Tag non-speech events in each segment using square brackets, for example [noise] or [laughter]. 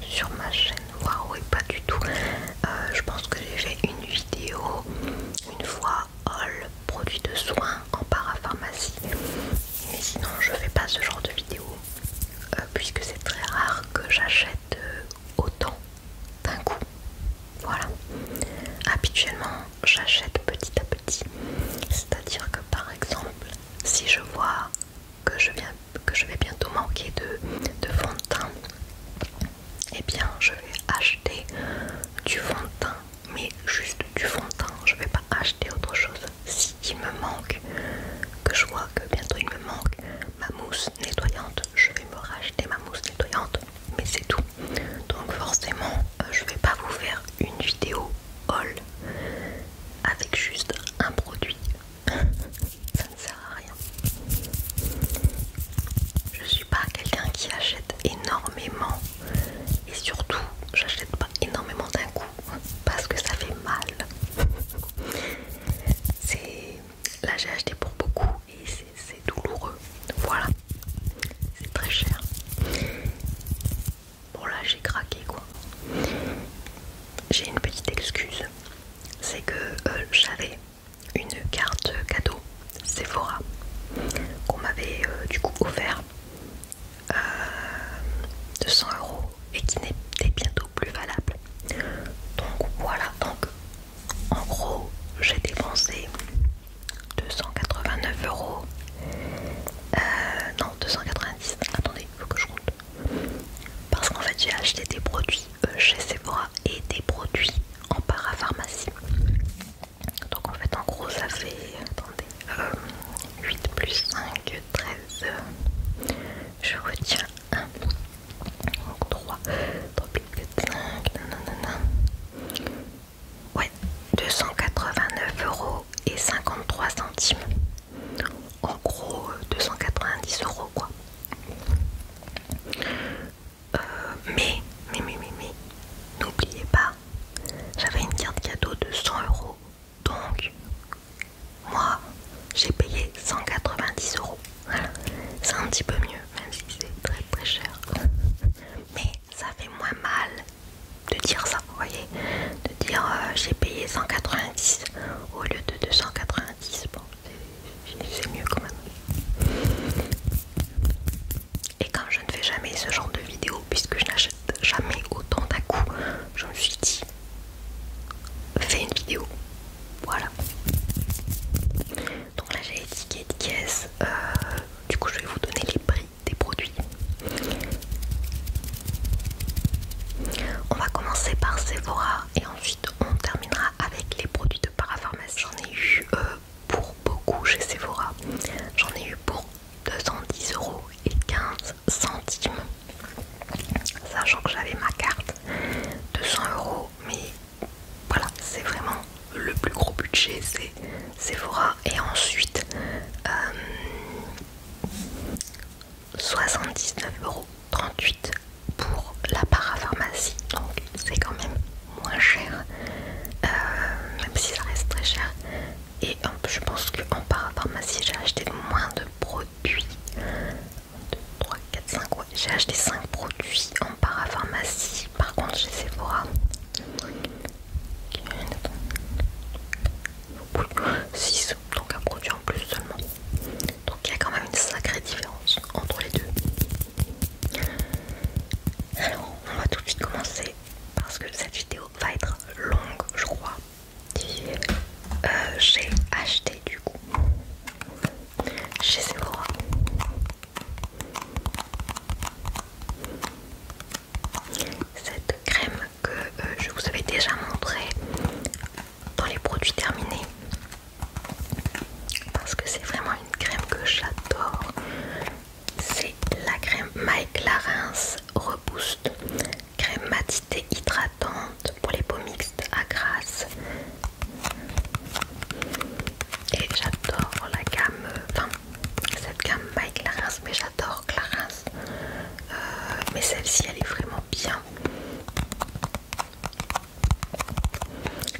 sur ma chaîne waouh pas du tout euh, je pense que j'ai fait une vidéo une fois all produits de soins en parapharmacie mais sinon je fais pas ce genre de vidéo euh, puisque c'est très rare que j'achète euh, autant d'un coup voilà habituellement j'achète petit à petit c'est à dire que par exemple si je vois que je viens que je vais bientôt manquer de, fond de teint, Et eh bien je vais acheter du fond de teint, mais juste du fond de teint, je vais pas acheter autre chose. Si il me manque, que je vois que bientôt il me manque ma mousse nettoyante, je vais me racheter ma mousse nettoyante, mais c'est tout. Donc forcément, euh, je vais pas vous faire une vidéo haul avec juste un produit ça ne sert à rien. Je suis pas quelqu'un qui achète énormément et surtout j'achète pas énormément d'un coup parce que ça fait mal. C'est là j'ai acheté pour beaucoup et c'est douloureux. Voilà, c'est très cher. Bon là j'ai craqué quoi. J'ai une petite excuse, c'est que euh, j'avais une carte cadeau Sephora qu'on m'avait euh, du coup offert 200 euh, euros et qui n'était bientôt plus valable. Donc voilà, donc en gros j'ai dépensé 289 euros. Euh, non, 290. Attendez, il faut que je compte. Parce qu'en fait j'ai acheté des produits euh, chez Sephora et des produits en parapharmacie. Donc en fait en gros ça fait attendez, 8 euh, plus 5, 13, euh, je retiens 1, donc 3, 3 plus non 5, non Ouais, 289 euros et 53 centimes. En gros 290 euros quoi. Euh, mais, mais, mais, mais, mais, n'oubliez pas, j'avais une carte cadeau de 100 euros. Donc, moi, j'ai payé 190 euros. C'est un petit peu mieux, même si c'est très très cher. Mais ça fait moins mal de dire ça, vous voyez De dire euh, j'ai payé 190 au lieu de 290. Bon, c'est mieux quand même. Et comme je ne fais jamais ce genre de vidéo, puisque je n'achète jamais autant d'un coup, je me suis dit, fais une vidéo. Voilà. Donc là j'ai les tickets de caisse. Euh, du coup je vais vous donner les prix des produits. On va commencer par Sephora et ensuite on terminera avec les produits de parapharmacie. J'en ai eu euh, pour beaucoup chez Sephora. J'en ai eu pour 210 euros et 15 centimes. Sachant que j'avais ma carte 200 euros, mais voilà, c'est vraiment le plus gros budget, c'est Sephora. Et ensuite, 79 euh, euros 38 pour la parapharmacie, donc c'est quand même moins cher, euh, même si ça reste très cher. Et je pense qu'en parapharmacie, j'ai acheté moins de produits. 1, 3, 4, 5, J'ai acheté 5 produits en parapharmacie. Par contre, chez Sephora, 6, donc un produit en plus seulement. Donc il y a quand même une sacrée différence entre les deux. Alors, on va tout de suite commencer parce que cette vidéo va être longue, je crois. Euh, j'ai acheté du coup chez Sephora. Cette crème que euh, je vous avais déjà montrée dans les produits terminés parce que c'est vraiment une crème que j'adore c'est la crème My Clarins Reboost crème matité hydratante pour les peaux mixtes à grâce et j'adore la gamme enfin cette gamme My Clarins mais j'adore Clarins euh, mais celle-ci elle est vraiment bien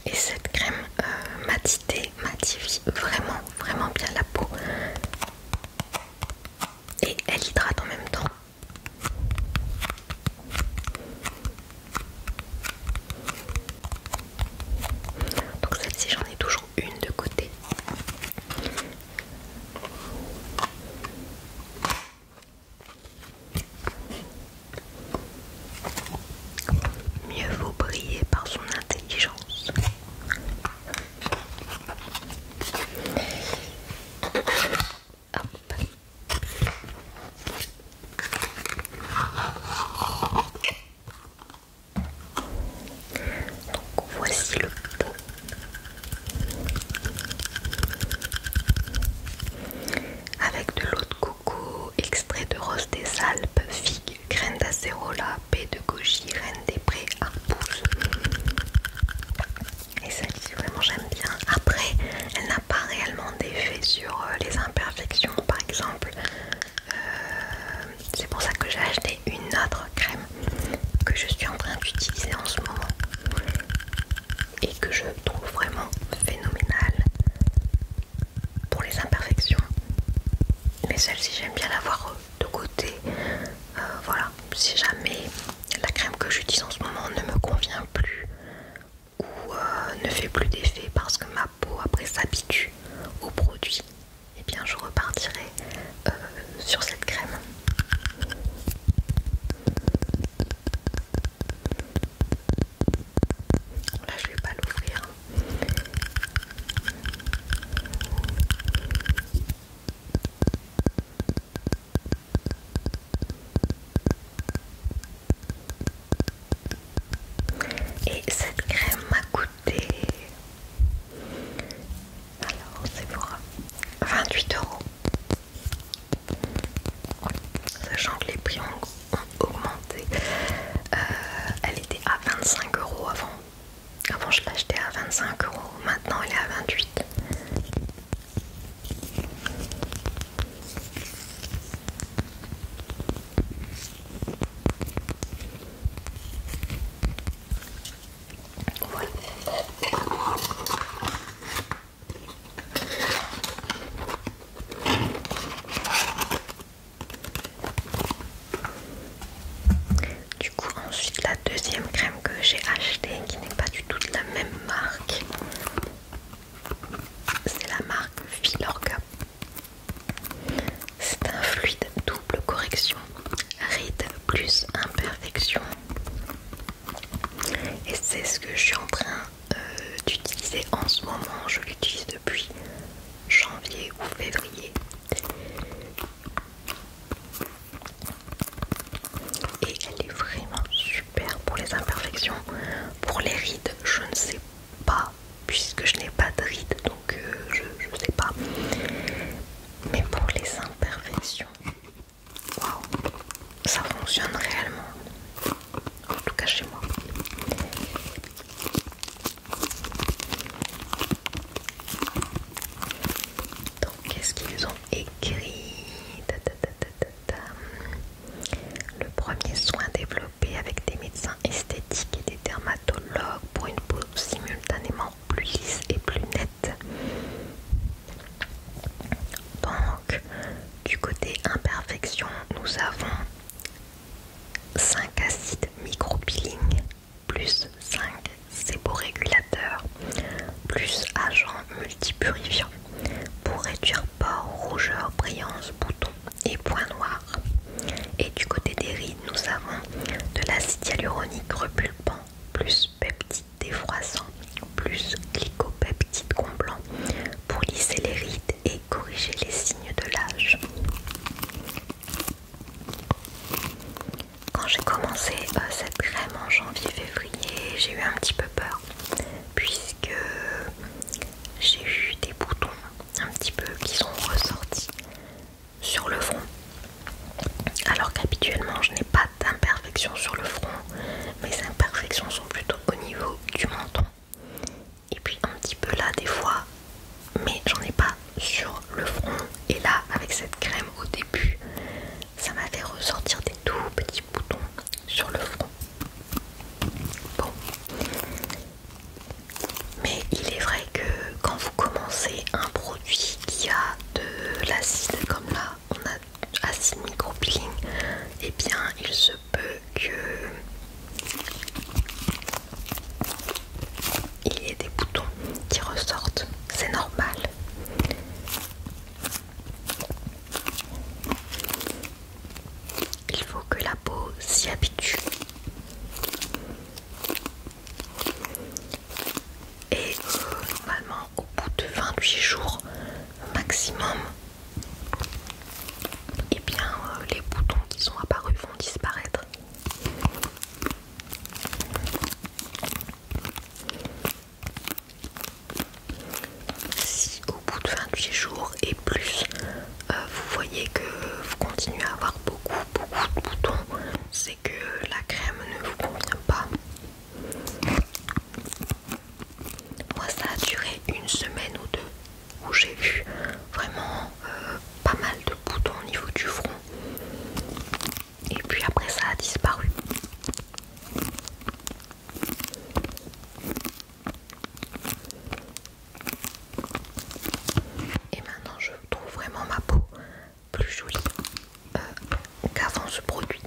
et cette crème euh, matité matifie vraiment, vraiment bien la peau. Et elle hydrate en même temps. Donc celle-ci j'en ai toujours une de côté. Mieux vaut briller par son intelligence. Donc voici le avec de l'eau de coco, extrait de rose des Alpes, figues, graines d'acérola, baie de goji, reine des prés, Et ça, c'est vraiment, j'aime bien. Après, elle n'a pas réellement d'effet sur euh, les imperfections, par exemple. Euh, c'est pour ça que j'ai acheté une autre crème que je suis en train d'utiliser en ce moment et que je trouve vraiment phénoménal pour les imperfections. Mais celle-ci, j'aime bien voir euh, de côté. Euh, voilà, si jamais la crème que j'utilise en ce moment ne me convient plus ou euh, ne fait plus d'effet parce que ma peau après s'habitue au produit, et eh bien je repartirai sur cette crème. Là, je vais pas l'ouvrir. Et cette crème m'a coûté alors c'est pour 28 euros sachant que les prix ont, augmenté. Euh, elle était à 25 euros avant. Avant je l'achetais à 25 euros, maintenant elle est à 28. Voilà. Du coup, ensuite la deuxième crème que j'ai achetée, qui n'est pas du tout de la même marque, c'est la marque Vilorga. C'est un fluide double correction, ride plus imperfection. Et c'est ce que je suis en train euh, d'utiliser en ce moment. Je l'utilise depuis janvier ou février. Et elle est vraiment super pour les imperfections. Pour les rides, je ne sais pas puisque je n'ai pas de rides donc euh, je ne sais pas. Mais pour les imperfections, waouh, ça fonctionne réellement. En tout cas chez moi. Donc qu'est-ce qu'ils ont écrit Le premier soin développé avec des médecins esthétiques et des dermatologues pour une peau simultanément plus lisse et plus nette. Donc du côté imperfection, nous avons 5 acides micro-peeling plus 5 séborégulateurs plus agents multipurifiants pour réduire pores, rougeurs, brillance, boutons et points noirs. Et du côté des rides, nous avons de l'acide hyaluronique repulpant plus peptide défroissant plus glycopeptide comblant pour lisser les rides et corriger les signes de l'âge. Quand j'ai commencé euh, cette crème en janvier-février, j'ai eu un petit peu peur puisque j'ai eu des boutons un petit peu qui sont ressortis sur le front. Alors qu'habituellement je n'ai pas d'imperfections sur le front, mes imperfections sont plutôt au niveau du menton et puis un petit peu là des fois mais j'en ai pas sur le front et là avec cette crème au début ça m'a fait ressortir des tout petits boutons sur le front bon mais il est vrai que quand vous commencez un produit qui a de l'acide comme là on a acide micro et eh bien il se peut que il y ait des boutons qui ressortent, c'est normal. Il faut que la peau s'y habitue. Et euh, normalement au bout de 28 jours maximum, et eh bien euh, les boutons qui sont apparus vont disparaître. Si au bout de 28 jours et plus, euh, vous voyez que vous continuez à avoir beaucoup, beaucoup de boutons, c'est que la crème ne vous convient pas. Moi ça a duré une semaine ou deux où j'ai vu vraiment euh, pas mal de boutons au niveau du front. Et puis après ça a disparu. Et maintenant je trouve vraiment ma peau plus jolie euh, qu'avant ce produit.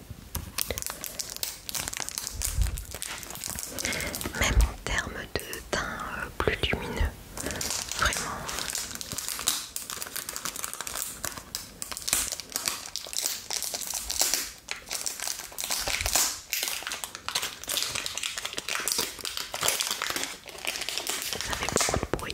Même en termes de teint euh, plus lumineux, vraiment. Ça fait beaucoup de bruit.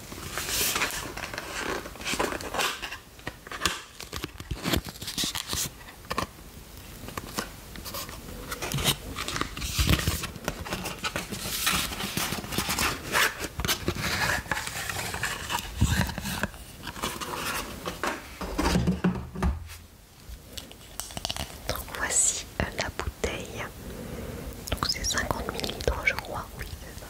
voici euh, la bouteille. Donc c'est 50 ml je crois, oui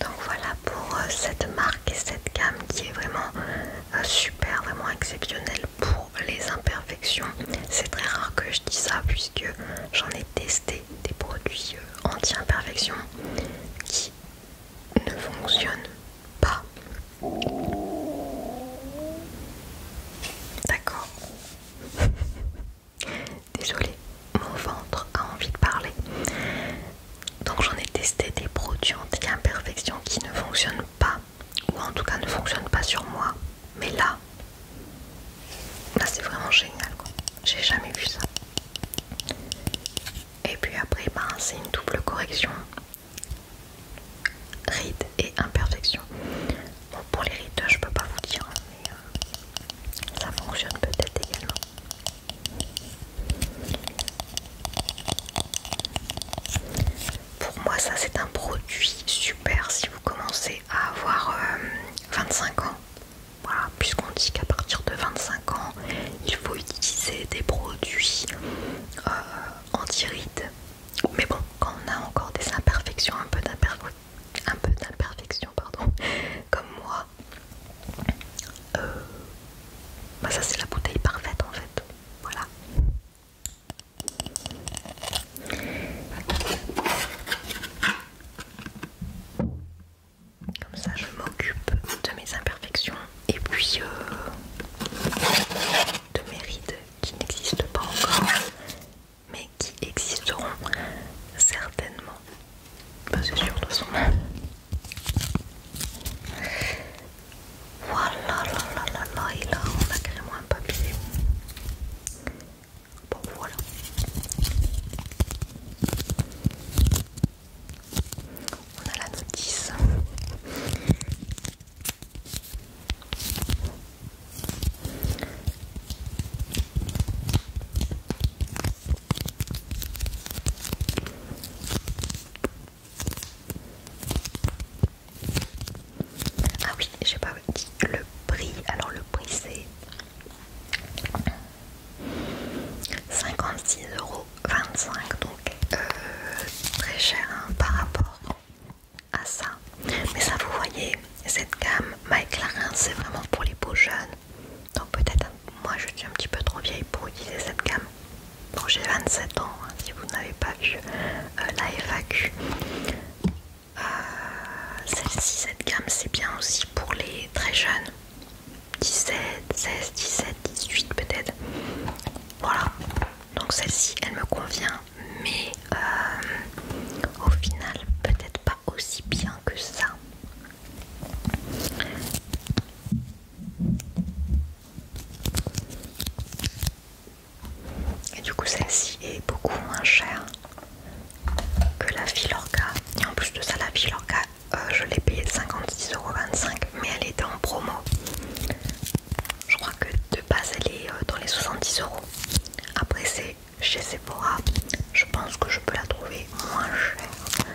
Donc voilà pour euh, cette marque et cette gamme qui est vraiment euh, super, vraiment exceptionnelle pour les imperfections. C'est très rare que je dis ça puisque j'en ai testé des produits euh, anti-imperfection qui ne fonctionnent pas. D'accord. [laughs] Désolée, mon ventre a envie de parler. Donc j'en ai testé des produits anti imperfections qui ne fonctionnent pas ou en tout cas ne fonctionne pas sur moi. Mais là, c'est vraiment génial quoi. J'ai jamais vu ça. Et puis après, ben, c'est une double correction. Rides et imperfections. Bon, pour les rides, je peux pas vous dire, hein, mais euh, ça fonctionne peut-être également. Pour moi, ça c'est un produit super si vous commencez à avoir 25 euh, ans. Voilà, puisqu'on dit qu'à partir de 25 ans, il faut utiliser des produits euh, anti-rides. Mais bon, quand on a encore des imperfections, un peu d'imperfection, pardon, [laughs] comme moi, euh, bah, ça c'est la bouteille parfaite en fait. Voilà. Comme ça, je m'occupe de mes imperfections et puis euh, de mes rides qui n'existent pas encore, mais qui existeront certainement. c'est sûr, de toute façon. Voilà, là, là, là, là, et là, on a carrément papier. Bon voilà. On a la notice. Ah oui, j'ai pas dit le prix. Alors le prix c'est 56,25€. Donc euh, très cher hein, par rapport à ça. Mais ça vous voyez, cette gamme Mike c'est vraiment pour les beaux jeunes. Donc peut-être moi je suis un petit peu trop vieille pour utiliser cette gamme. Bon j'ai 27 ans, hein, si vous n'avez pas vu euh, la FAQ. Euh, celle-ci, cette gamme, c'est bien aussi pour les très jeunes. 17, 16, 17, 18 peut-être. Voilà. Donc celle-ci, elle me convient, mais euh, au final, peut-être pas aussi bien que ça. Et du coup, celle-ci est beaucoup moins chère que la Filorga. Et en plus de ça, la Filorga, euh, je l'ai payée 56,25€, mais elle était en promo. Je crois que de base, elle est euh, dans les 70€. Après, c'est chez Sephora. Je pense que je peux la trouver moins chère euh,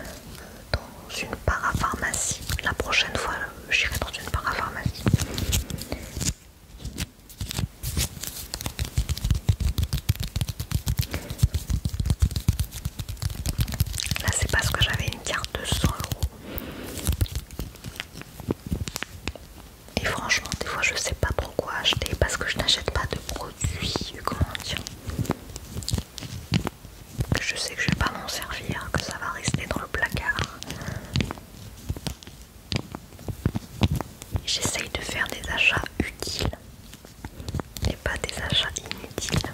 dans une parapharmacie. La prochaine fois, j'irai dans une parapharmacie. Là, c'est parce que j'avais une carte de 100 euros. Et franchement, des fois, je sais pas pourquoi acheter parce que je n'achète pas de produits, comment dire, je sais que je vais pas m'en servir, que ça va rester dans le placard. J'essaye de faire des achats utiles et pas des achats inutiles.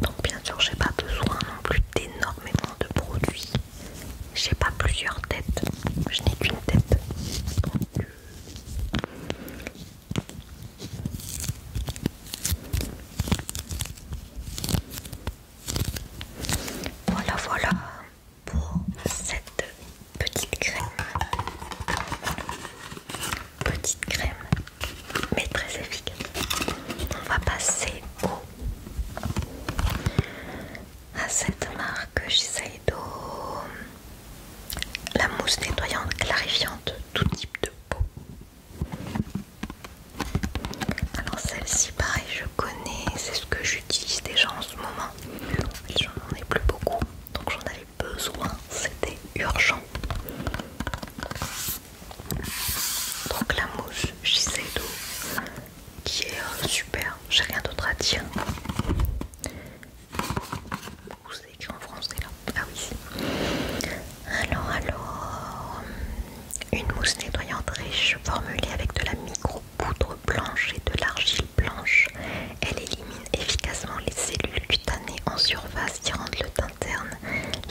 Donc bien sûr j'ai pas besoin non plus d'énormément de produits. J'ai pas plusieurs têtes, je n'ai qu'une tête. Voilà, voilà pour cette petite crème. Petite crème, mais très efficace. On va passer au à cette marque Shiseido, la mousse nettoyante clarifiante tout type de peau. Alors celle-ci pareil je connais, c'est ce que j'utilise déjà en ce moment. J'en ai plus beaucoup, donc j'en avais besoin, c'était urgent. Donc la mousse Shiseido qui est euh, super, j'ai rien d'autre à dire. c'est écrit en français là Ah oui. Alors, alors, une mousse nettoyante riche formulée avec de la micro-poudre blanche et de l'argile blanche. Elle élimine efficacement les cellules cutanées en surface qui rendent le teint terne,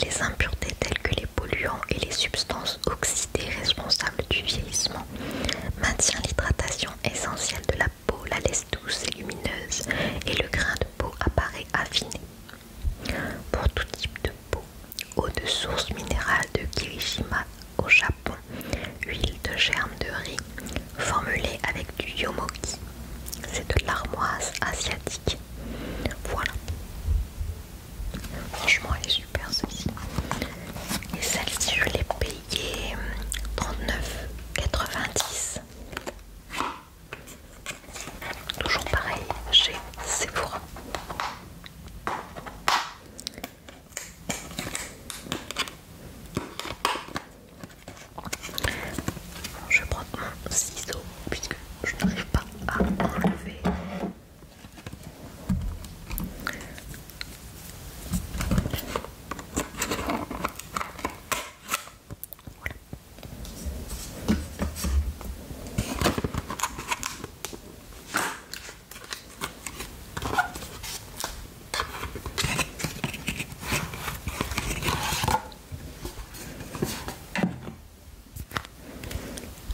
les impuretés telles que les polluants et les substances oxydées responsables du vieillissement. Maintient l'hydratation essentielle de la peau, la laisse douce et lumineuse et le grain de peau apparaît affiné pour tout type de peau. Eau de source minérale de Kirishima au Japon, huile de germe de riz formulée avec du yomoki, c'est de l'armoise asiatique. Voilà. Franchement, elle est super Ceci Et celle-ci, je l'ai payée 39,90. Euh, Toujours pareil chez Sephora. Je prends un ciseau puisque je n'arrive pas à enlever. Voilà.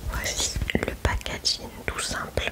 Voici le packaging tout simple.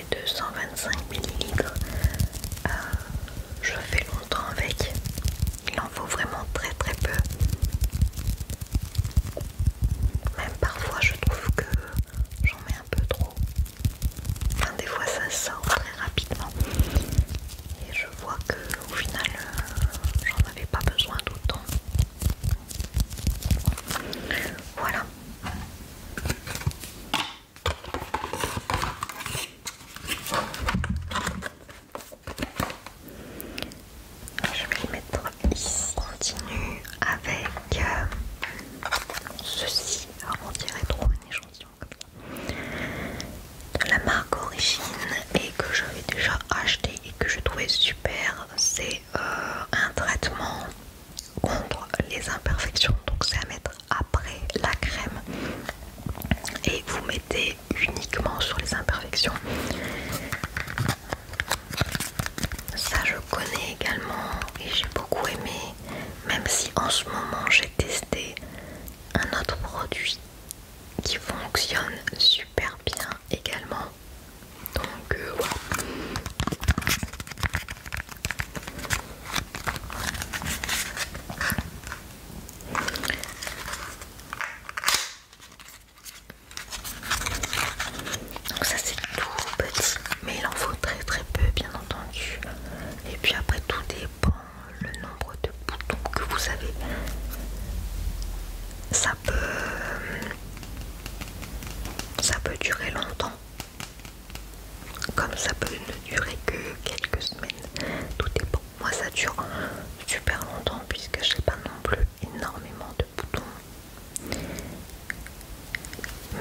225 ml. Euh, je fais longtemps avec, il en faut vraiment très très peu. Même parfois je trouve que j'en mets un peu trop. des fois ça sort très rapidement. Et je vois que au final euh, j'en avais pas besoin d'autant. Voilà. Je vais le mettre ici. On continue avec euh, ceci. Alors on dirait trop une échantillon comme ça. la marque Origine et que j'avais déjà acheté et que je trouvais super. C'est euh, un traitement contre les imperfections. Donc c'est à mettre après la crème et vous mettez uniquement sur les imperfections. Ça je connais également et j'ai beaucoup aimé, même si en ce moment j'ai testé un autre produit qui fonctionne super bien également. Donc euh, voilà. Donc ça c'est tout petit, mais il en faut très très peu bien entendu. Et puis après tout dépend le nombre de boutons que vous avez. Ça peut, ça peut durer longtemps comme ça peut ne durer que quelques semaines, tout est bon Moi ça dure super longtemps puisque je n'ai pas non plus énormément de boutons.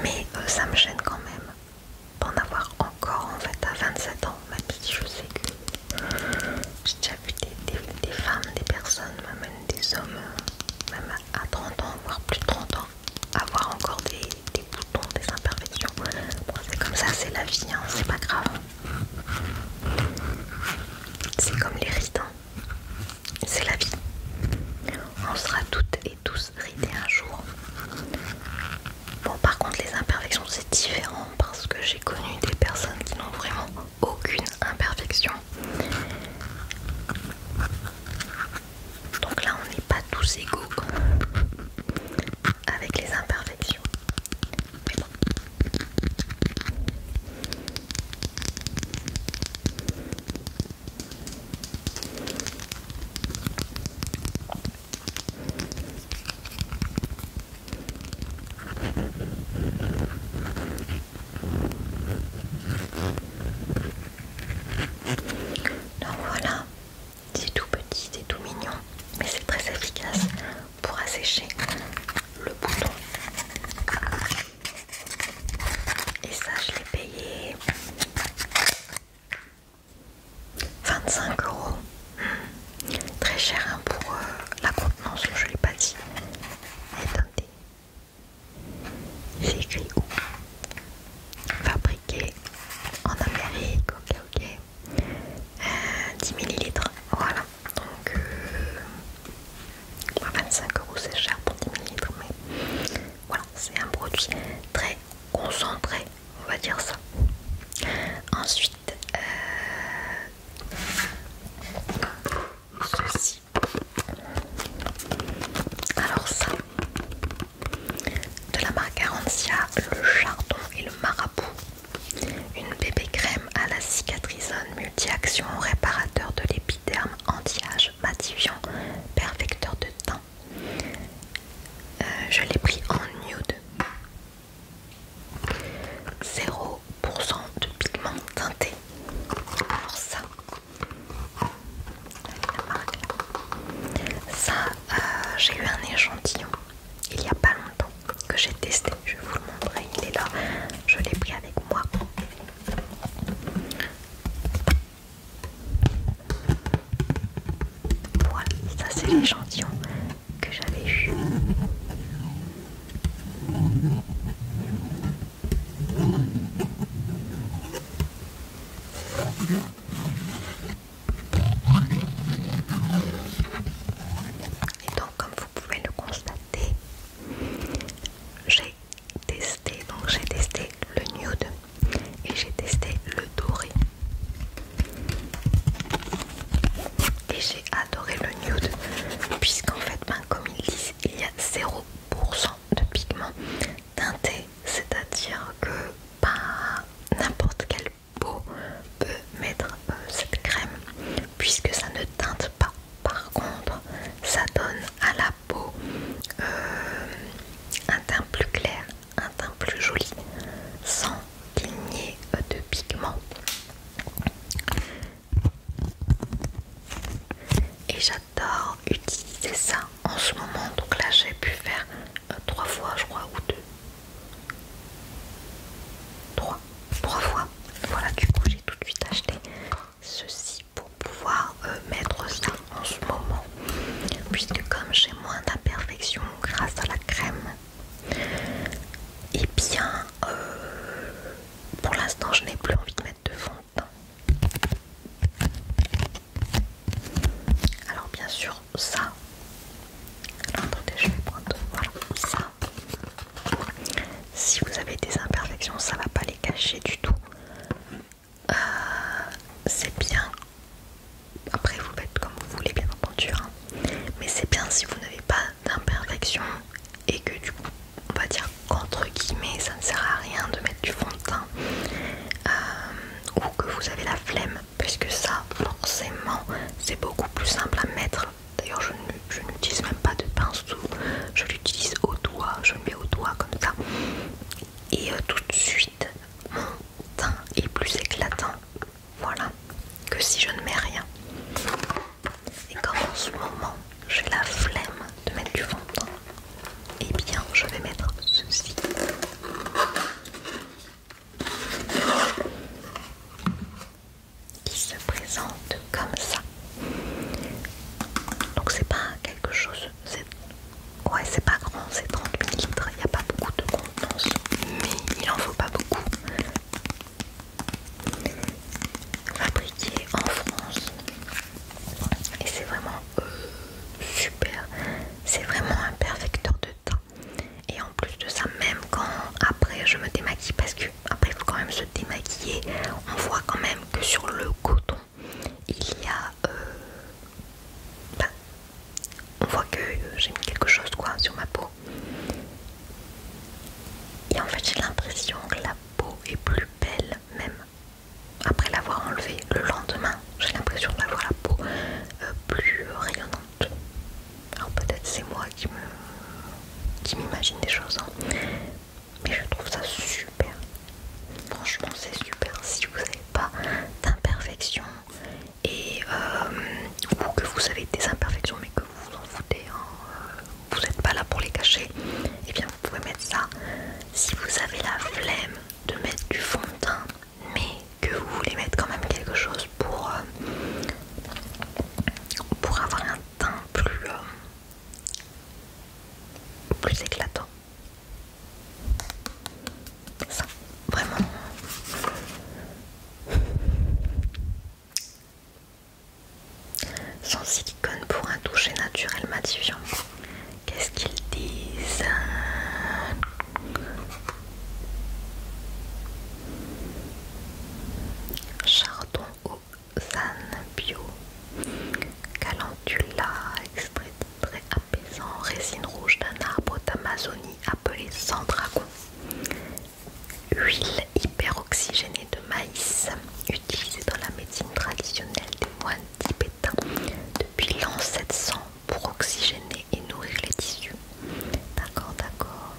Mais euh, ça me gêne quand même d'en avoir encore en fait à 27 ans, ma si je sais que j'ai déjà vu des, femmes, des personnes, même des hommes, même à 30 ans, voire plus de 30 ans avoir encore des, boutons, des imperfections. c'est comme ça, c'est la vie, hein, c'est pas grave. C'est comme les rides, hein. c'est la vie. On sera toutes et tous ridés un jour. Bon, par contre, les imperfections, c'est différent parce que j'ai connu des personnes qui n'ont vraiment aucune imperfection. Donc là, on n'est pas tous égaux avec les imperfections. Donc voilà, c'est tout petit, c'est tout mignon, mais c'est très efficace pour assécher le bouton. Et ça, je l'ai payé 25 euros. Très cher hein, pour euh, la contenance, je ne l'ai pas dit. Attendez. C'est où fabriqué en Amérique, ok ok, 10 euh, ml, voilà, donc 25 euh, euros c'est cher pour 10 ml, mais voilà, c'est un produit très concentré, on va dire ça. Ensuite, euh, ceci. Alors ça, de la marque Arantia, le chardon et le marabout. Une bébé crème à la cicatrisone multi-action, réparateur de l'épiderme, anti-âge, matifiant, perfecteur de teint. Euh, je l'ai pris en nude. 0% de pigment teinté. Pour ça, ça, euh, j'ai eu un échantillon il n'y a pas longtemps que j'ai testé. Je vais vous le montrer, il est là. Je l'ai pris avec moi. Voilà, ça c'est l'échantillon que j'avais eu. Et donc comme vous pouvez le constater, j'ai testé, donc j'ai testé le nude et j'ai testé le doré. Et j'ai adoré le nude puisqu'en fait ben, comme ils disent il y a 0% de pigments teintés, c'est-à-dire que pas n'importe quelle peau peut mettre euh, cette crème puisque ça ne teinte pas. Par contre, ça donne à la peau euh, un teint plus clair, un teint plus joli, sans qu'il euh, de pigment Et j'adore utiliser ça en ce moment. Donc là, j'ai pu faire euh, trois fois, je crois, ou deux. Trois. Trois fois. Voilà, du coup, j'ai tout de suite acheté ceci pour pouvoir euh, mettre ça en ce moment. Puisque comme j'ai moins d'imperfections grâce à la crème, et eh bien, euh, pour l'instant, je n'ai plus envie de mettre de fond alors bien sûr ça. attendez, je vais prendre. ça. Si vous avez des imperfections, ça va pas les cacher du tout. Euh, c'est bien. Après vous faites comme vous voulez bien entendu. Hein. Mais c'est bien si vous n'avez pas d'imperfections et que du coup on va dire entre guillemets ça ne sert à rien de mettre du fond de teint euh, ou que vous avez la flemme puisque ça forcément c'est beaucoup plus simple à mettre d'ailleurs je n'utilise même pas de pinceau je l'utilise au doigt je le mets au doigt comme ça et euh, tout de suite mon teint est plus éclatant voilà que si je ne mets rien et comme en ce moment j'ai la flemme de mettre du fond et eh bien je vais mettre ceci qui se présente comme ça. Donc c'est pas quelque chose, ouais c'est pas grand, c'est 30 ml, il n'y a pas beaucoup de contenance, mais il en faut pas beaucoup. Fabriqué en France et c'est vraiment euh, super, c'est vraiment un perfecteur de teint et en plus de ça, même quand après je me démaquille, parce que après il faut quand même se démaquiller, on voit quand même que sur le coton, il y a. Euh, bah, on voit que j'ai mis quelque chose quoi sur ma peau. Et en fait, j'ai l'impression que la peau est plus belle, même après l'avoir enlevée le lendemain. J'ai l'impression d'avoir la peau euh, plus rayonnante. Alors peut-être c'est moi qui me qui m'imagine des choses, hein. mais je trouve ça super. Franchement, c'est super si vous n'avez pas d'imperfection et euh, ou que vous avez des imperfections mais que vous vous en foutez, hein. vous n'êtes pas là pour les cacher. Et eh bien, vous pouvez mettre ça. Si vous avez la flemme de mettre du fond de teint mais que vous voulez mettre quand même quelque chose pour, euh, pour avoir un teint plus, euh, plus éclatant. Ça, vraiment. Sans silicone pour un toucher naturel matifiant. Qu'est-ce qu'ils disent Chardon aux ânes Bio, Calantula, extrait très apaisant, résine rouge d'un arbre d'Amazonie appelé dragon, huile hyperoxygénée de maïs, utilisée dans la médecine traditionnelle des moines tibétains depuis l'an 700 pour oxygéner et nourrir les tissus. D'accord, d'accord.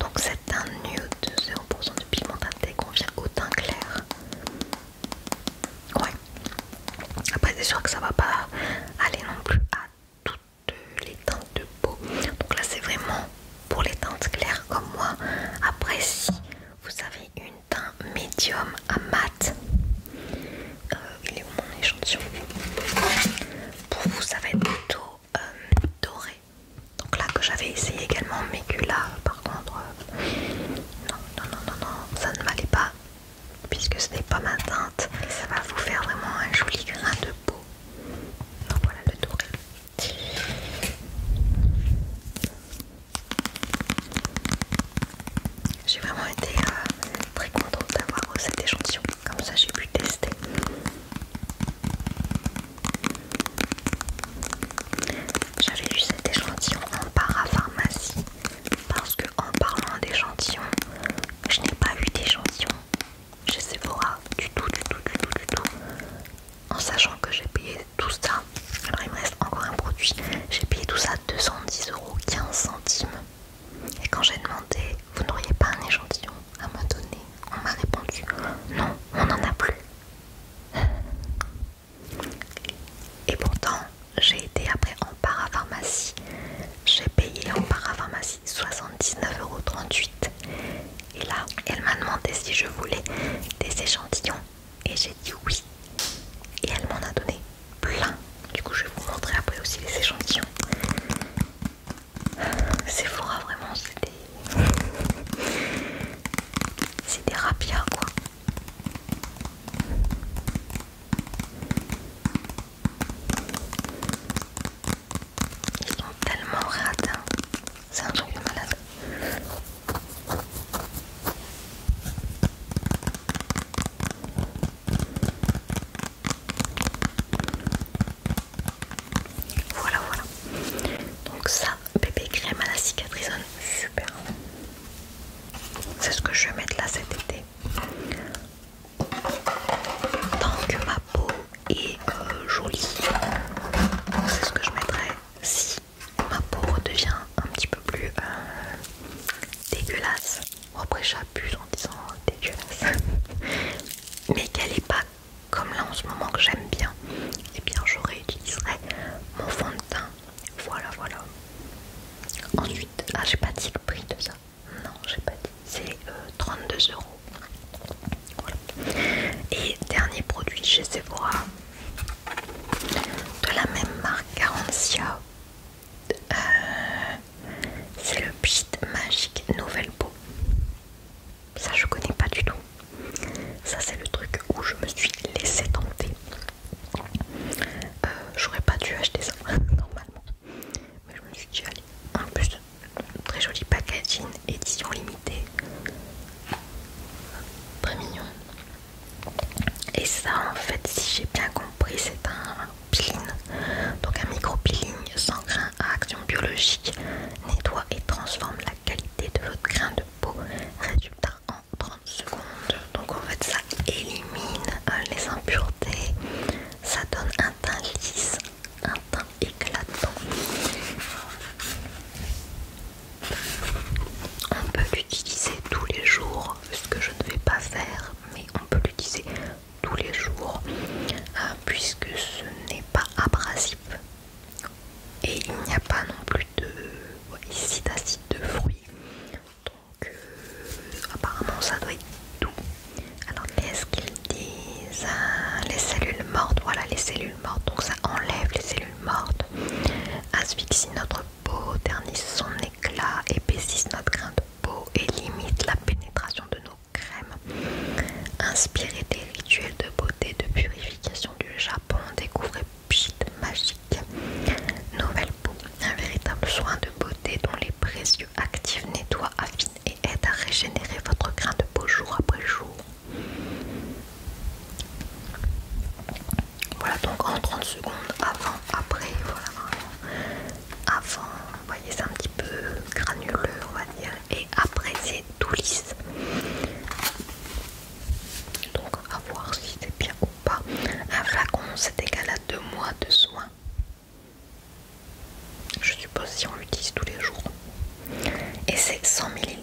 Donc c'est un nude de 0% de pigment qu'on convient au teint clair. Ouais. Après c'est sûr que ça va pas aller non plus à toutes les teintes de peau. Donc là c'est vraiment pour les teintes claires comme moi. Après si vous avez une teinte médium à mat, euh, il est où mon échantillon Pour vous, ça va être plutôt euh, doré. Donc là que j'avais essayé également, mais que là, par contre, euh, non, non, non, non, ça ne m'allait pas, puisque ce n'est pas ma teinte. ça va vous faire vraiment un joli grain de peau. Donc voilà le doré. J'ai vraiment été euh, très contente d'avoir cet échantillon, comme ça j'ai pu tester. J'avais eu cet échantillon en parapharmacie parce que en parlant d'échantillon, je n'ai pas eu d'échantillon chez Sephora du tout, du tout, du tout, du tout. En sachant que j'ai payé tout ça, alors il me reste encore un produit, j'ai payé tout ça 210 euros 15 centimes. Et quand j'ai demandé, vous n'auriez pas un échantillon à me donner On m'a répondu, non, on n'en a plus. Et pourtant, j'ai été après en parapharmacie. J'ai payé en parapharmacie 79,38€. Et là, elle m'a demandé si je voulais des échantillons. Et j'ai dit oui. Et elle m'en a donné plein. Du coup, je vais vous montrer après aussi les échantillons. Sephora, hein, vraiment, c'est des. c'est des rapias quoi. Ils sont tellement radins. Hein. C'est un truc de malade. Voilà, voilà. Donc ça, bébé crème à la cicatrisonne, super. C'est ce que je vais mettre là cet été. Tant que ma peau est euh, jolie, c'est ce que je mettrai si ma peau redevient un petit peu plus euh, dégueulasse. Après, j'abuse en disant oh, dégueulasse, [laughs] mais qu'elle est pas comme là en ce moment que j'aime bien, et eh bien je réutiliserai mon fond de teint. Voilà, voilà. Ensuite, ah, j'ai pas dit le prix de ça. Non, j'ai pas dit. C'est 32 euh, euros. Et dernier produit chez Sephora de la même marque, Garancia. Euh, c'est le Pit Magique Nouvelle Beau. Ça, je connais pas du tout. Ça, c'est le truc où je me suis Laissé tenter. Euh, j'aurais pas dû acheter ça [laughs] normalement, mais je me suis dit, allez, en plus, très joli packaging, édition limitée, très mignon. Et ça, en fait, si j'ai bien compris, c'est un donc un micro peeling sans grain à action biologique nettoie et transforme la qualité de votre grain de peau. Résultat en 30 secondes. Donc en fait ça élimine euh, les impuretés, ça donne un teint lisse, un teint éclatant. On peut l'utiliser tous les jours, ce que je ne vais pas faire mais on peut l'utiliser tous les jours euh, puisque ce n'est pas abrasif et il n'y a pas non plus de d'acide de fruits donc euh, apparemment ça doit être doux alors qu'est-ce qu'ils disent hein, les cellules mortes voilà les cellules mortes donc ça enlève les cellules mortes asphyxie notre peau ternisse son éclat épaississe notre grain de peau et limite la pénétration de nos crèmes. inspirez des rituels de beauté de purification du Japon, découvrez Pchit Magique. Nouvelle peau, un véritable soin de beauté dont les précieux actifs nettoient, affinent et aident à régénérer votre grain de peau jour après jour. Voilà donc en 30 secondes avant, après, voilà avant, vous voyez c'est un petit peu granuleux on va dire et après c'est tout lisse donc à voir si c'est bien ou pas un flacon c'est égal à deux mois de soins je suppose si on l'utilise tous les jours et c'est 100 ml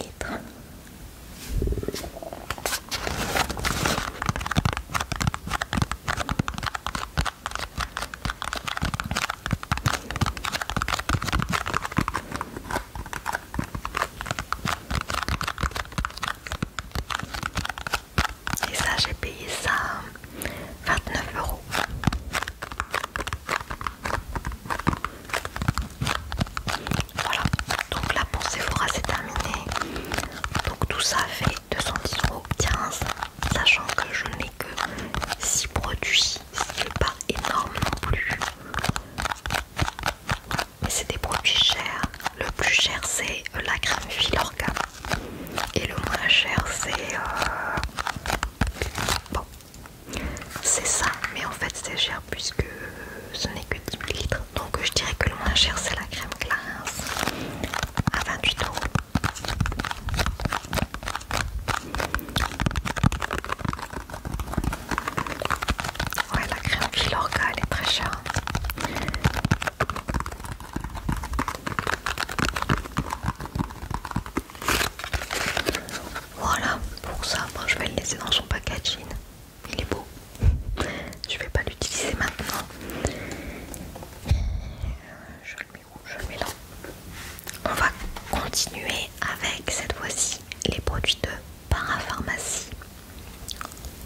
et ça, j'ai payé ça 29 euros. Voilà, donc la pour Sephora c'est terminé. Donc tout ça fait 210 euros 15 sachant que je n'ai que 6 produits, n'est pas énorme non plus. Mais c'est des produits chers. Le plus cher c'est euh, la crème Filorga et le moins cher c'est euh, bon, c'est ça. Mais en fait c'est cher puisque ce n'est que 10 litres. Donc je dirais que le moins cher c'est la crème glace à 28 euros. Ouais, la crème filorga elle est très chère. Voilà, pour ça, moi je vais le laisser dans son packaging. Il est beau. [laughs] Je vais pas l'utiliser maintenant. Euh, je le mets où Je le mets là. On va continuer avec cette fois-ci les produits de parapharmacie.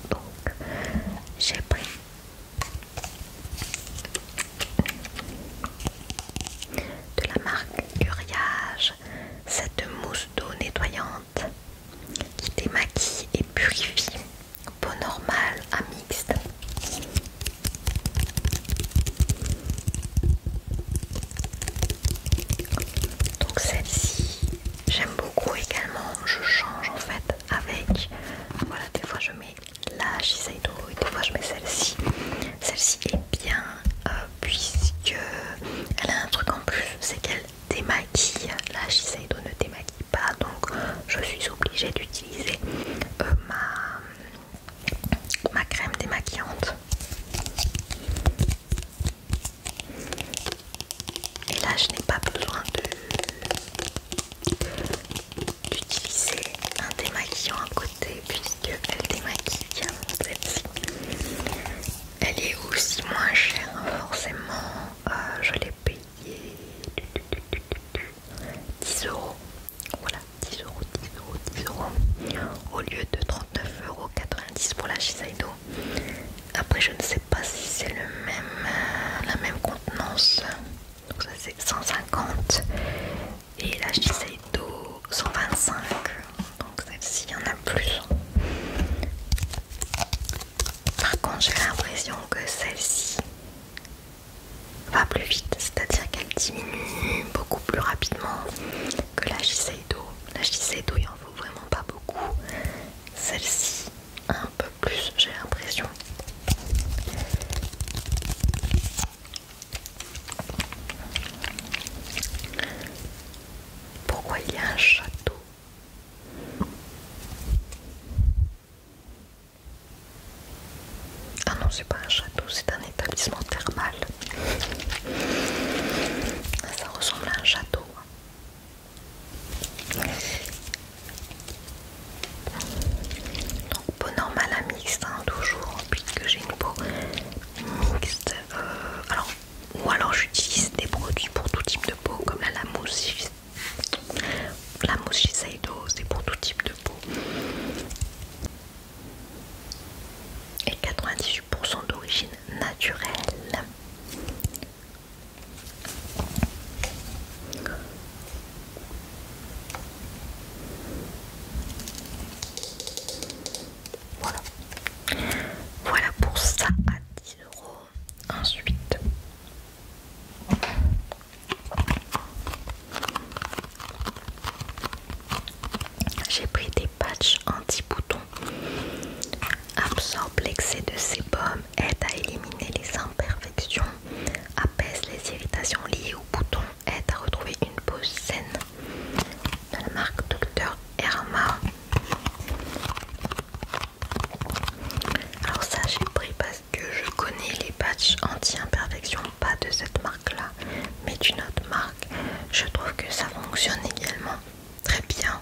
Donc j'ai pris de la marque Uriage cette mousse d'eau nettoyante qui démaquille et purifie peau normale à mixte. Donc celle-ci, j'aime beaucoup également, je change en fait avec, voilà des fois je mets la Shiseido et des fois je mets celle-ci. Celle-ci est bien euh, puisque elle a un truc en plus, c'est qu'elle démaquille, la Shiseido ne démaquille pas donc je suis obligée d'utiliser euh, ma, crème démaquillante. Et là, je n'ai pas besoin d'utiliser un démaquillant à côté puisque elle démaquille Elle est aussi moins chère, forcément. Euh, je l'ai payée 10 euros. Voilà, 10 euros, 10 euros, 10 euros. Au lieu de 39,90 euros pour la Shiseido. Après, je ne sais pas si c'est le même, euh, la même contenance. Donc, ça c'est 150. Et la Shiseido 125. Donc, celle-ci, il y en a plus. Par contre, j'ai l'impression que celle-ci va plus vite, c'est-à-dire qu'elle diminue beaucoup plus rapidement que la Shiseido. La Shiseido, il en faut vraiment pas beaucoup. Celle-ci, un peu plus, j'ai l'impression. Pourquoi il y a un château ah non, c'est pas un château, c'est un établissement thermal. Ça ressemble à un château. Donc peau normale à mixte, hein, toujours, puisque j'ai une peau mixte. Euh, ou alors j'utilise des produits pour tout type de peau, comme la mousse la mousse Shiseido, c'est pour tout type de peau. Et 98% d'origine naturelle. Voilà. Voilà pour ça à 10 euros. Ensuite, j'ai pris des patchs anti-boutons. Absorbe l'excès de sébum, aide à éliminer les imperfections, apaise les irritations liées aux boutons, aide à retrouver une pose saine. De la marque Dr. Erma Alors ça j'ai pris pas que je connais les patchs anti-imperfection, pas de cette marque-là, mais d'une autre marque. Je trouve que ça fonctionne également très bien.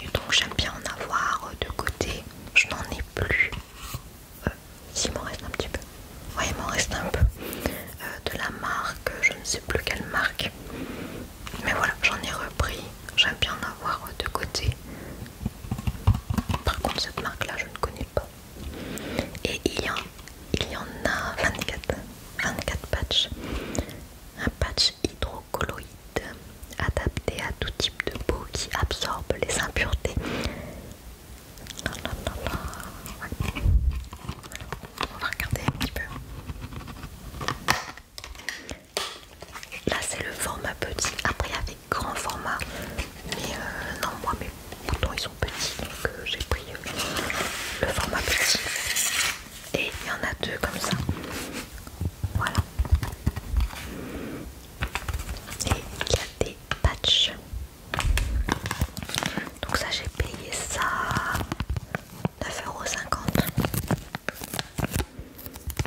Et donc j'aime bien en avoir de côté. Je n'en ai plus. Euh, S'il m'en reste un petit peu. Oui il m'en reste un peu. Euh, de la marque, je ne sais plus quelle marque. Mais voilà, j'en ai repris. J'aime bien en avoir de côté. Par contre, cette marque-là, je ne connais pas. Et il y en, il y en a 24, 24 patchs. Un patch hydrocolloïde adapté à tout type de peau qui absorbe les impuretés. On va regarder un petit peu. Là, c'est le format petit. Après, avec grand format. Mais euh, non, moi mes boutons ils sont petits donc euh, j'ai pris euh, le format petit. Et il y en a deux comme ça. Voilà. Et il y a des patchs. Donc ça j'ai payé ça 9,50€.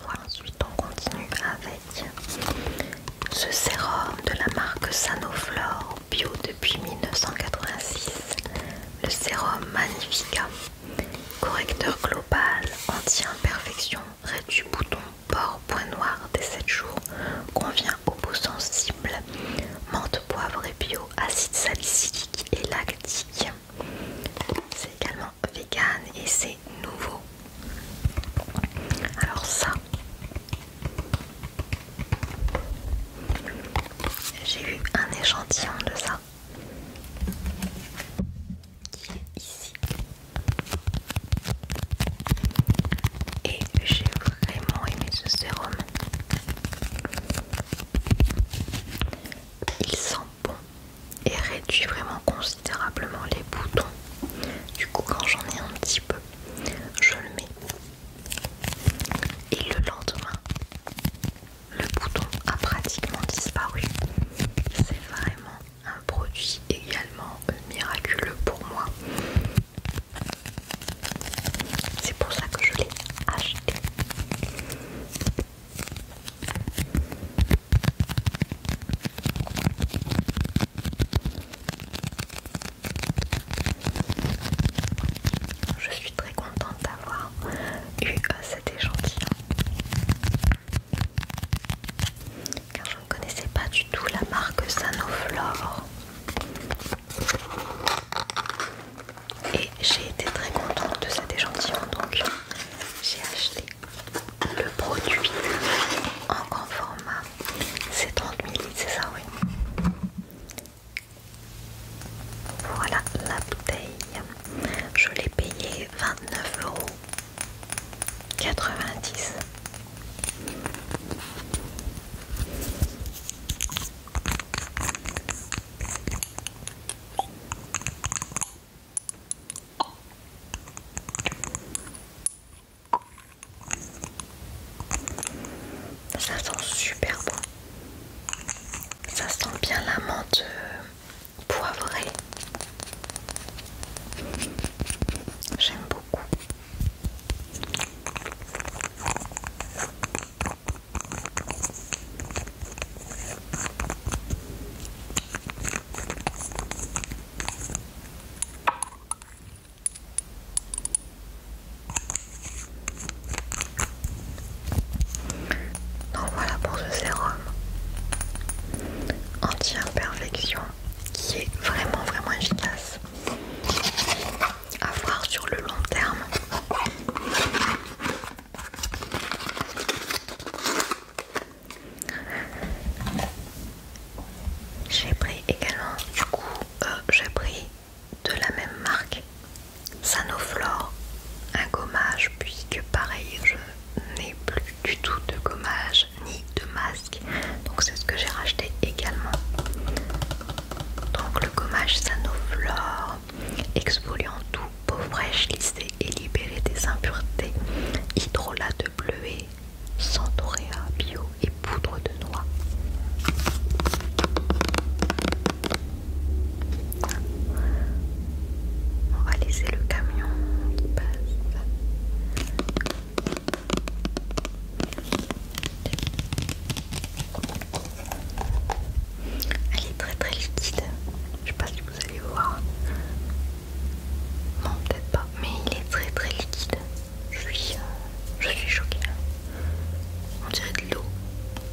Voilà, ensuite on continue avec ce sérum de la marque Sanoflore bio depuis 1986, le sérum Magnifica, correcteur global anti-imperfection, réduit bouton, pores, point noir des 7 jours, convient aux peaux sensibles, menthe poivre et bio, acide salicylique et lactique. C'est également vegan et c'est nouveau. Alors ça, j'ai eu un échantillon de ça qui est ici et j'ai vraiment aimé ce sérum. Il sent bon et réduit vraiment considérablement les boutons. Du coup, quand j'en ai un petit peu, je le mets et le lendemain, le bouton a pratiquement disparu. C'est vraiment un produit également euh, miraculeux pour moi. C'est pour ça que je l'ai acheté. Je suis très contente d'avoir eu euh, cet échantillon car je ne connaissais pas du tout la marque Sanoflore et j'ai été très contente de cet échantillon donc j'ai acheté le produit en grand format c'est 30 ml c'est ça oui voilà la bouteille. Je l'ai payé payée 29,90€. Ça sent super bon. Ça sent bien la menthe euh, poivrée. J'aime beaucoup. Donc voilà pour ce sérum anti-imperfection qui est vraiment vraiment efficace à voir sur le long terme. J'ai pris également du coup euh, j'ai pris de la même marque Sanoflore un gommage puisque pareil je n'ai plus du tout de gommage ni de masque donc c'est ce que j'ai racheté également donc le gommage Sanoflore exfoliant tout peau fraîche lissée et libérée des impuretés hydrolate de bleuet centauréa bio et poudre de noix on va laisser le camion qui passe. Elle est très très liquide. Je sais pas si vous allez voir. Non, peut-être pas. Mais il est très très liquide. Je suis, euh, je suis choquée. On dirait de l'eau.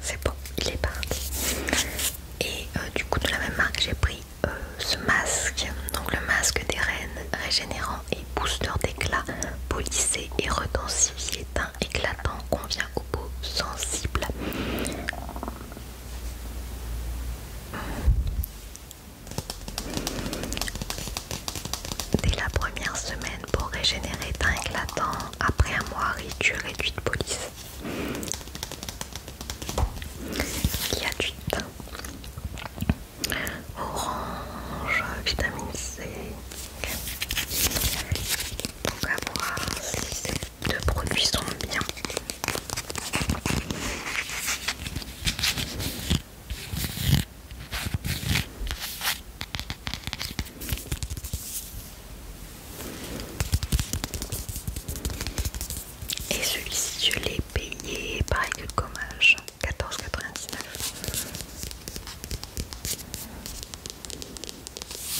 C'est bon, il est parti. Et euh, du coup de la même marque j'ai pris euh, ce masque, donc le masque des reines régénérant et booster d'éclat, polissé et redensifier teint éclatant convient aux peaux sensibles. Dès la première semaine pour régénérer teint éclatant, après un mois et réduit de police. Il y a du teint orange, vitamine C. Donc à voir si ces deux produits sont bien. Et celui-ci, je l'ai payé pareil que le gommage, 14,99.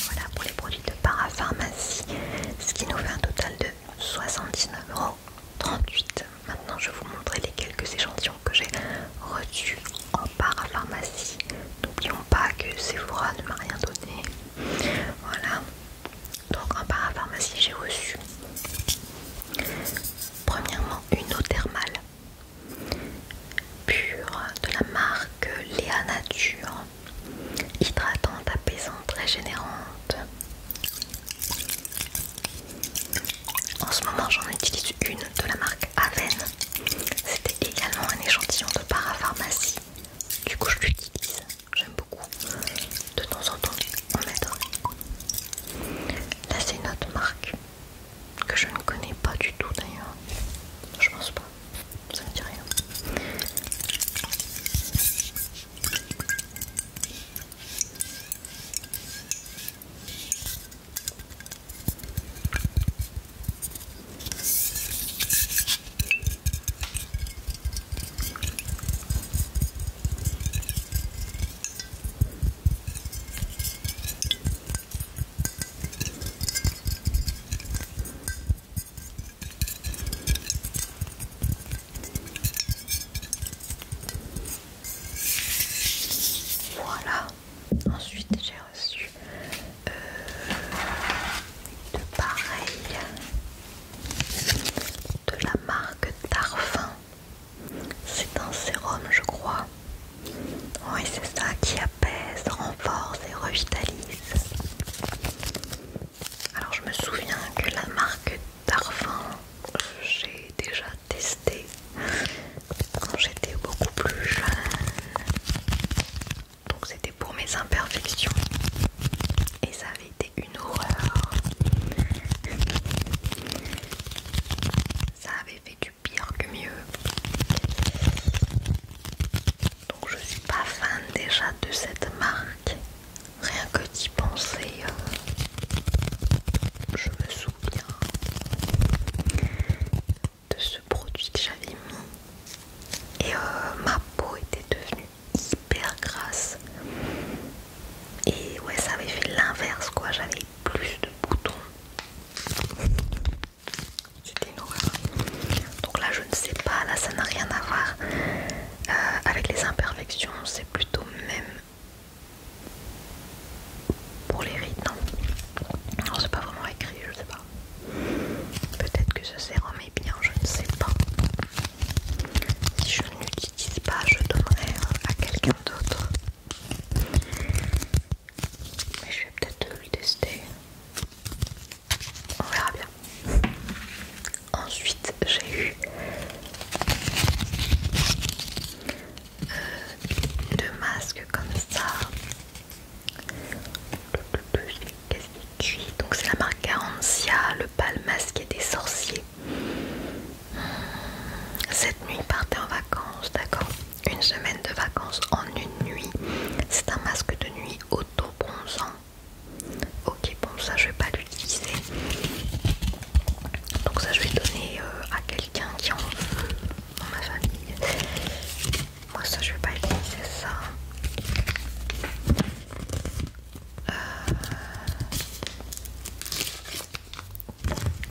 Voilà pour les produits de parapharmacie, ce qui nous fait un total de 79,38€. Maintenant, je vais vous montrer les quelques échantillons que j'ai reçus en parapharmacie. N'oublions pas que Sephora ne m'a rien donné. Voilà. Donc en parapharmacie, j'ai reçu premièrement une eau thermale pur de la marque Léa Nature, hydratante, apaisante, régénérante. En ce moment, j'en utilise une de la marque Aven. C'était également un échantillon de parapharmacie. Du coup, je l'utilise. J'aime beaucoup. De temps en temps, en mettre. Là, c'est une autre marque que je ne connais pas du tout d'ailleurs. Je pense pas, ça me dit rien. Voilà. Ensuite, j'ai reçu euh, de pareil de la marque Tarfin. C'est un sérum, je crois. Oui, c'est ça qui apaise, renforce et revitalise. Alors, je me souviens que la marque Darphin j'ai déjà testé quand j'étais beaucoup plus jeune. Donc, c'était pour mes imperfections. Et ça avait été une horreur. Ça avait fait pire que mieux. Donc je suis pas fan déjà de cette marque. Rien que d'y penser, euh, je me souviens de ce produit que j'avais mis et euh, ma peau était devenue hyper grasse et ouais ça avait fait l'inverse quoi j'avais plus de boutons c'était une Donc là, je ne sais pas, là ça n'a rien à voir euh, avec les imperfections, c'est plutôt même pour les rides, non Non, c'est pas vraiment écrit, je sais pas. Peut-être que ce sérum est bien, je ne sais pas. Si je ne l'utilise pas, je donnerai à quelqu'un d'autre. Mais je vais peut-être le tester. On verra bien. Ensuite, j'ai eu euh, deux masques comme ça. cuit Donc, c'est la marque Garantia, le pâle masqué des sorciers. Cette nuit, il partait en vacances, d'accord une semaine de vacances en une nuit. C'est un masque de nuit auto-bronzant. Ok, bon, ça je vais pas l'utiliser. Donc, ça je vais donner euh, à quelqu'un qui en veut dans ma famille. Moi, ça je vais pas utiliser ça. Euh,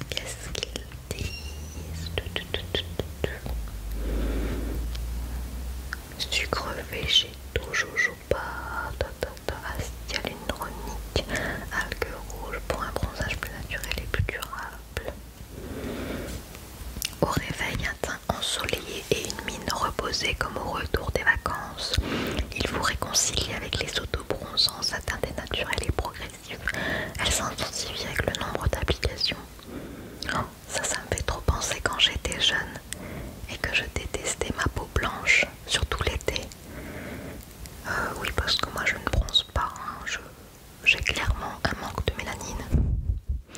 Qu'est-ce qu'ils disent Sucre végétaux, jojoba, tatata, acide ah, endronique, algues rouges pour un bronzage plus naturel et plus durable. Au réveil, un teint ensoleillé et une mine reposée comme au retour des vacances. Il vous réconcilie avec les autobronzants, atteintes des naturels et progressives. Elle s'intensifie avec le nombre d'applications. Oh, ça, ça me fait trop penser quand j'étais jeune et que je détestais ma peau blanche, surtout l'été. Euh, oui, parce que moi je ne bronze pas, hein. j'ai clairement un manque de mélanine.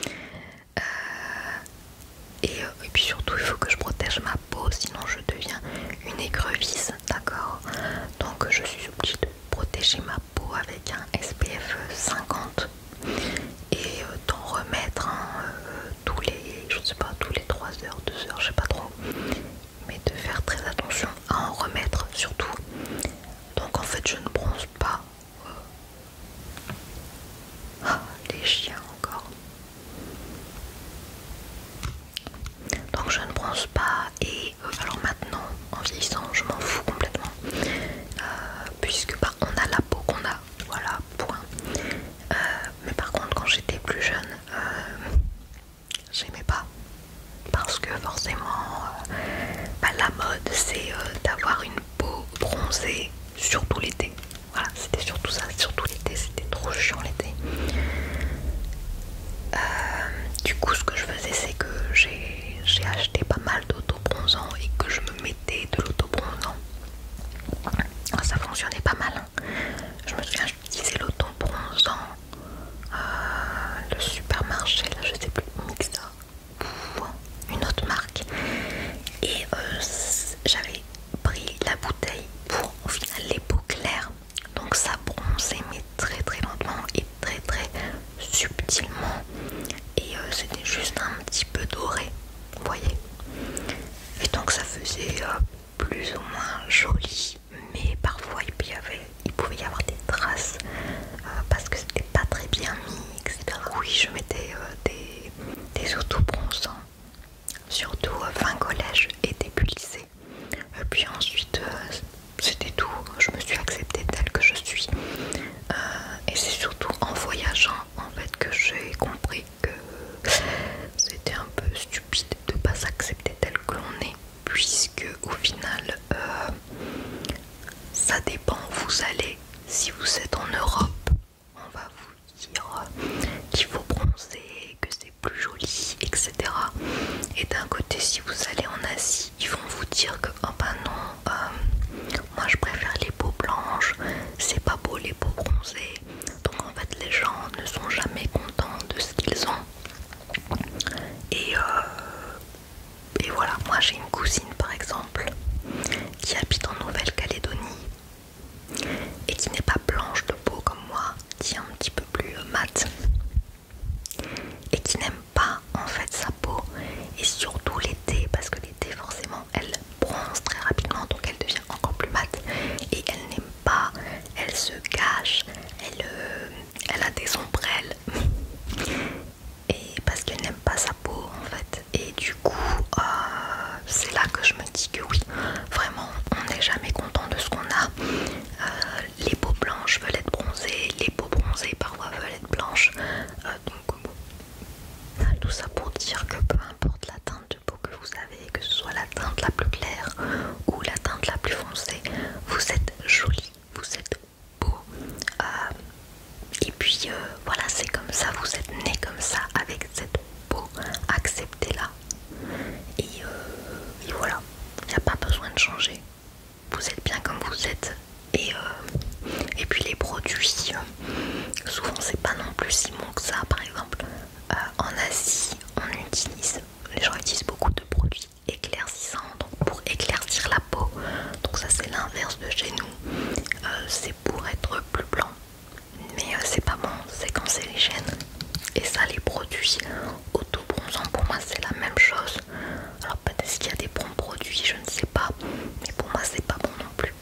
Euh, euh, et, puis surtout, il faut que je protège ma peau, sinon je deviens une écrevisse, d'accord Donc je suis obligée de protéger ma peau peau avec un SPF 50 et d'en euh, remettre euh, tous les je sais pas tous les 3 heures 2 heures je sais pas trop mais de faire très attention à en remettre surtout donc en fait je ne bronze pas euh, ah, les chiens encore donc je ne bronze pas et euh, alors maintenant en vieillissant je m'en fous complètement euh, puisque bah, on a la peau qu'on a voilà point euh, mais par contre quand j'étais plus jeune j'aimais pas parce que forcément bah, la mode c'est d'avoir une peau bronzée surtout l'été voilà c'était surtout ça surtout l'été c'était trop chiant l'été du coup ce que je faisais c'est que j'ai j'ai acheté pas mal d'autobronzant et que je me mettais de l'autobronzant, ah, ça fonctionnait pas mal. Hein. Je me souviens, j'utilisais l'autobronzant euh, le supermarché, je sais plus, Mixa hein, une autre marque. Et euh, j'avais pris la bouteille pour au les peaux claires, donc ça bronzait, mes très très lentement et très très subtilement et euh, c'était juste un petit peu doré vous voyez et donc ça faisait euh, plus ou moins joli mais parfois il pouvait y avoir, des traces euh, parce que c'était pas très bien mis etc oui je mettais des, des bronzants, hein. surtout fin collège et début lycée puis ensuite c'était tout. Je me suis acceptée telle que je suis. Euh, et c'est surtout en voyageant en fait que j'ai compris que c'était un peu stupide de pas s'accepter telle que l'on est, puisque au final, euh, ça dépend où vous allez. Si vous êtes en Europe, on va vous dire qu'il faut bronzer, que c'est plus joli, etc. Et d'un côté, si vous allez en Asie, ils vont vous dire que oh bah non euh, moi je préfère les peaux blanches c'est pas beau les peaux bronzées donc en fait les gens ne sont jamais contents de ce qu'ils ont et euh, et voilà moi j'ai une cousine par exemple qui habite en Nouvelle-Calédonie et qui n'est pas blanche de peau comme moi qui est un petit peu plus euh, mate et qui n'aime pas en fait sa peau et surtout l'été parce que l'été forcément elle bronze très rapidement donc elle devient encore plus mate et elle n'aime pas, elle se cache, elle, euh, a des ombrelles [laughs] et parce qu'elle n'aime pas sa peau en fait et du coup euh, c'est là que je me dis que oui vraiment on n'est jamais content de ce qu'on a euh, les peaux blanches veulent être bronzées, les peaux bronzées parfois veulent être blanches. Euh, donc tout ça pour dire que peu importe la teinte de peau que vous avez, que ce soit la teinte la plus claire ou la teinte la plus foncée, vous êtes jolie, vous êtes beau. Euh, et puis euh, voilà, c'est comme ça, vous êtes né comme ça avec cette peau, acceptez-la. et voilà, il n'y a pas besoin de changer vous êtes bien comme vous êtes et, euh, et puis les produits euh, souvent c'est pas non plus si bon que ça par exemple euh, en Asie on utilise les gens utilisent beaucoup de produits éclaircissants donc pour éclaircir la peau donc ça c'est l'inverse de chez nous c'est pour être plus blanc mais c'est pas bon c'est quand c'est les gènes et ça les produits autobronzants pour moi c'est la même chose alors peut-être qu'il y a des bons produits, je ne sais pas, mais pour moi c'est pas bon non plus.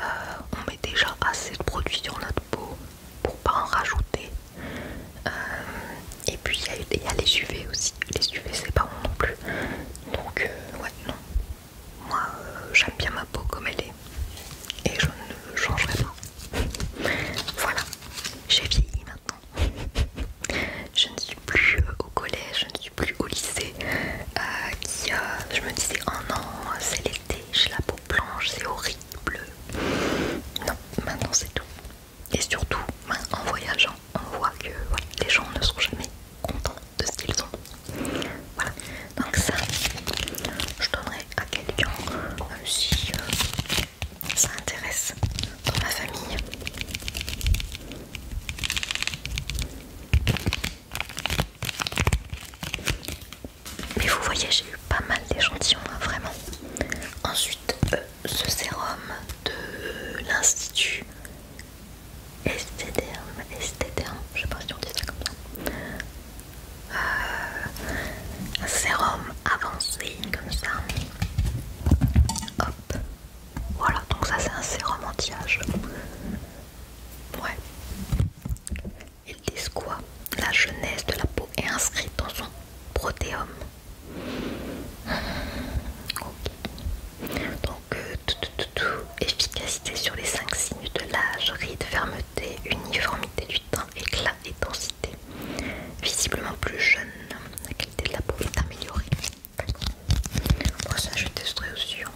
Euh, on met déjà assez de produits sur notre peau pour pas en rajouter. Euh, et puis il y, a les UV aussi, les UV c'est pas bon non plus. Donc euh, ouais non. Moi j'aime bien ma peau comme elle est et je ne changerai pas. [laughs] Voilà, j'ai vieilli maintenant. [laughs] je ne suis plus euh, au collège, je ne suis plus au lycée. Euh, euh, je me disais, oh non, c'est l'été, j'ai la peau blanche, c'est horrible. Non, maintenant c'est tout. Et surtout, en voyageant, on voit que les gens ne sont jamais contents de ce qu'ils ont. Voilà, donc ça, je donnerai à quelqu'un si ça intéresse dans ma famille. Mais vous voyez, j'ai eu pas mal d'échantillons, hein, vraiment. Ensuite, euh, ce sérum de l'Institut Estéderme, Estéderme, je sais pas si on dit ça comme ça. Euh, sérum avancé, comme ça. Hop. Voilà, donc ça c'est un sérum anti-âge. Ouais. Il disent quoi La jeunesse de la peau est inscrite dans son protéome. Donc, euh, tout, tout, tout, efficacité sur les cinq signes de l'âge, ride, fermeté, uniformité du temps, éclat et densité visiblement plus jeune, la qualité de la peau est améliorée. ça je testerai aussi. Hein.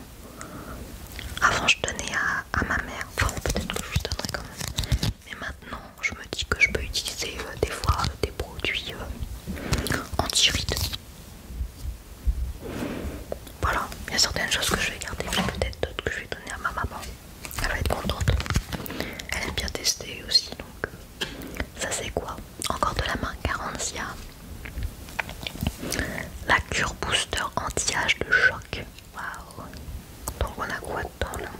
Avant, je donnais à, ma mère, enfin, peut-être que je lui donnerai quand même, mais maintenant je me dis que je peux utiliser euh, des fois euh, des produits euh, anti-rides. Voilà, il y a certaines choses que je vais garder, peut-être d'autres que je vais donner à ma maman. Elle va être contente. Elle aime bien tester aussi, donc ça c'est quoi Encore de la main Carencia. La cure booster anti-âge de choc. Waouh Donc on a quoi dedans là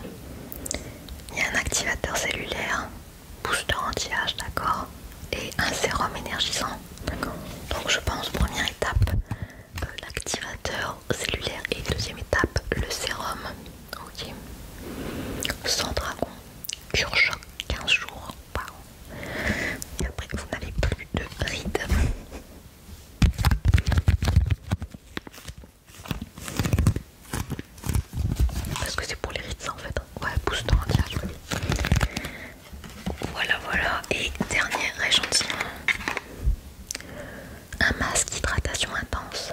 Il y a un activateur cellulaire, booster anti-âge, d'accord Et un sérum énergisant, d'accord Donc je pense première étape, l'activateur cellulaire et deuxième étape, le sérum ok. Sans dragon, cure choc 15 jours par Et après, vous n'avez plus de rides. Parce que c'est pour les rides, en fait. Ouais, je anti Voilà, voilà. Et dernier échantillon un masque d'hydratation intense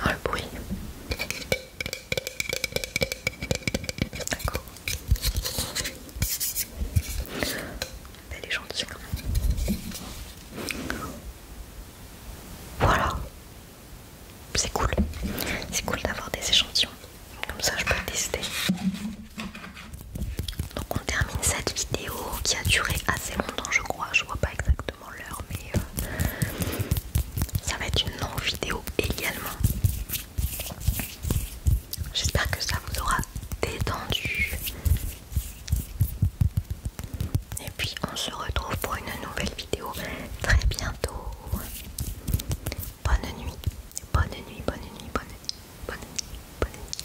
Oh, le bruit. D'accord. Elle est Voilà. C'est cool. C'est cool d'avoir des échantillons. Comme ça, je peux tester. Donc on termine cette vidéo qui a duré assez longtemps je crois, je vois pas exactement l'heure mais euh, ça va être une longue vidéo également. J'espère que ça vous aura détendu. Et puis on se retrouve pour une nouvelle vidéo très bientôt. Bonne nuit, bonne nuit, bonne nuit, bonne nuit, bonne nuit, bonne nuit.